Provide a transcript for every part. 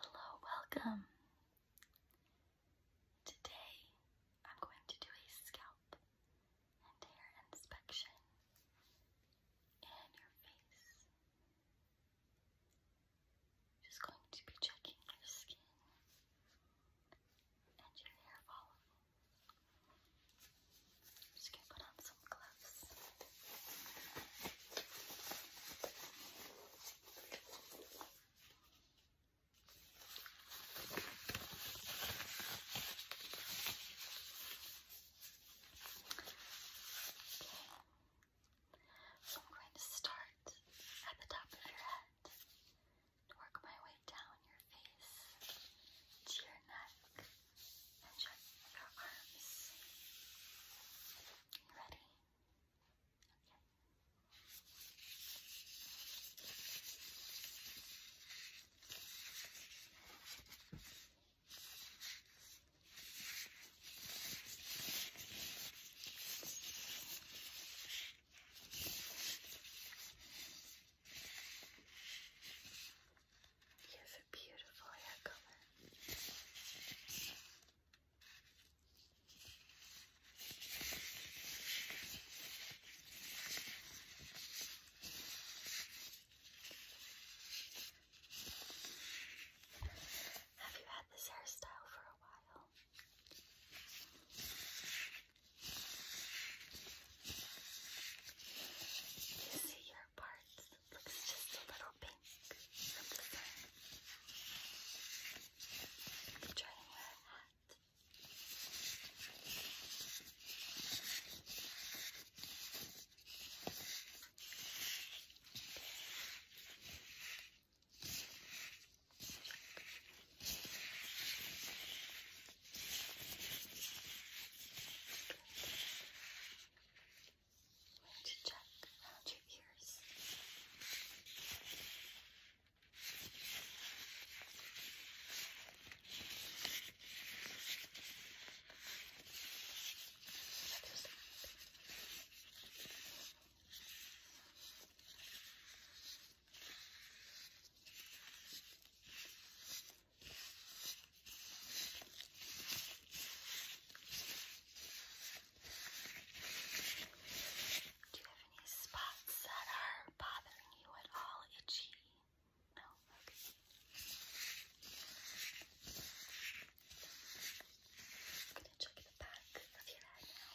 Hello, welcome. Today I'm going to do a scalp and hair inspection in your face. Just going to be checking your skin and your hair follicles. I'm just gonna put on some gloves. Okay. So I'm going to start at the top of your head. Work my way down your face to your neck, and check your arms. You ready? Okay. Okay. You have a beautiful hair color. Have you had this hairstyle for a while? You see, your outer parts looks just a little pink from the sun. I'm trying to wear a hat. Okay. I'm going to check around uh, your ears. Good. Do you have any spots that are bothering you at all? Itchy? No? Okay. I'm going to check the back of your head now.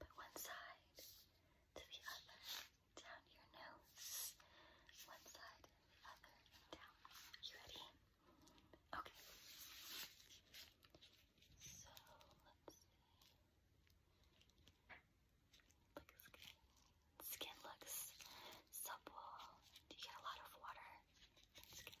but one side to the other, down your nose, one side and the other, down. You ready? Okay. So, let's see. Look at skin. Skin looks supple. Do you get a lot of water? That's good.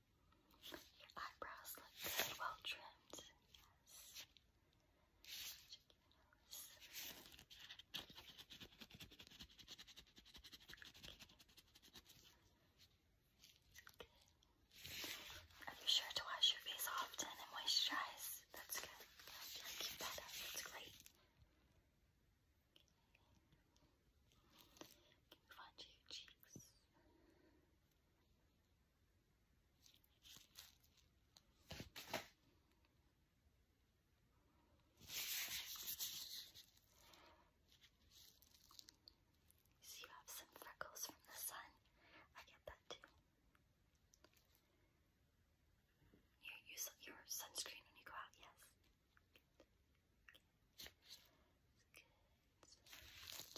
Your eyebrows look good, well trimmed. Yes. Check your nose. Okay. Good. Are you sure to wash your face often and moisturize? That's good. Yeah, keep that up. That's great. Okay. Move on to your cheeks. So you have some freckles from the sun. I get that too. You use your sunscreen when you go out, yes. Good. Chin. Good.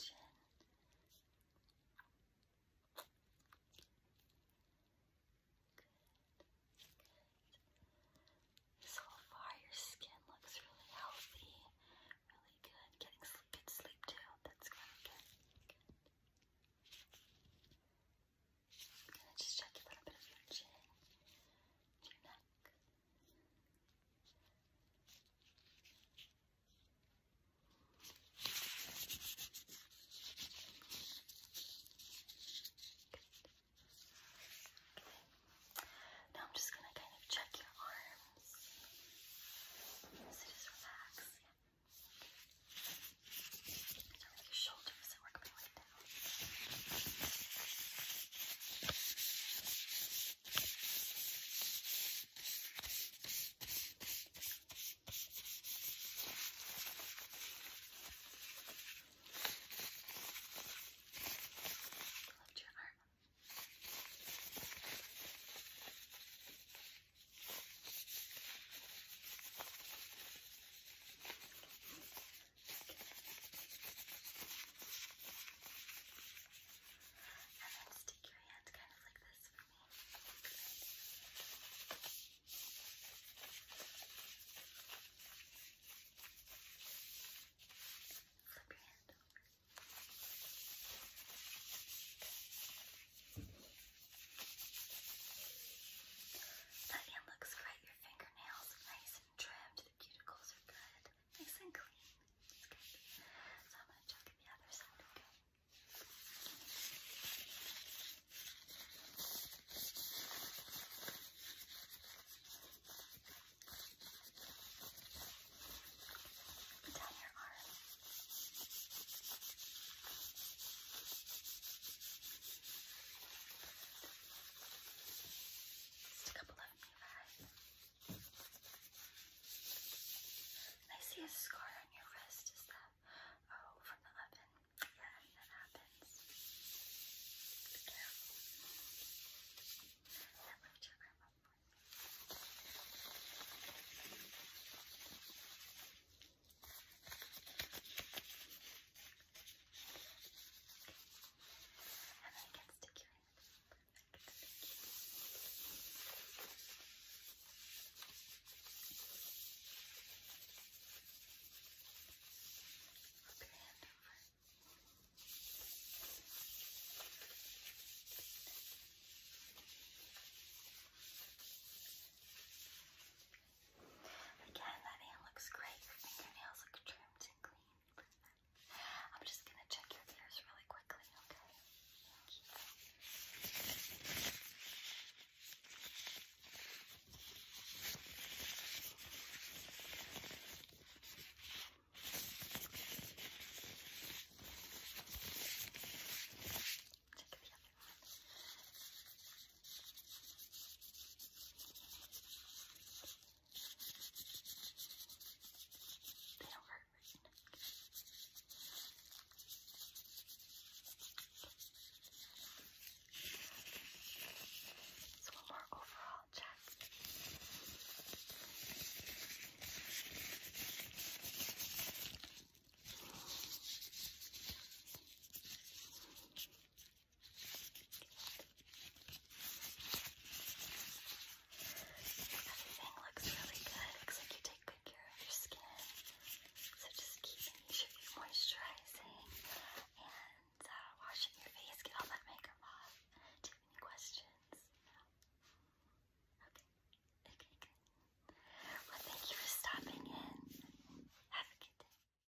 So far, your skin looks really healthy, really good. Getting sleep, good sleep too. That's really good. Good. I'm gonna just check a little bit of your chin, your neck. Good. Now I'm just gonna kind of check your arms. just relax. Yeah. So your shoulders, so we're going right Love Chandler. And then stick your hand kind of like this for me. Flip your hand over. That hand looks great. Your fingernails are nice and trimmed, the cuticles are good, nice and clean. So I'm gonna check the other side, okay? down your arm. Just a couple of me, right? I see a scar on your wrist. Is that? Oh, from the oven. Yeah, that happens. Be careful. That lift your arm up for me. And then it gets to cure it. Flip your hand over. Again, that hand looks great. I think your nails look trimmed and clean. I'm just gonna check your ears really quickly, okay? Thank you. Check the other one. They don't hurt. So one more overall check. Everything looks really good. Looks like you take good care of your skin. So just keep moisturizing and uh, washing your face. Get all that makeup off. any questions? Okay. Okay, Well, thank you for stopping in. Have a good day.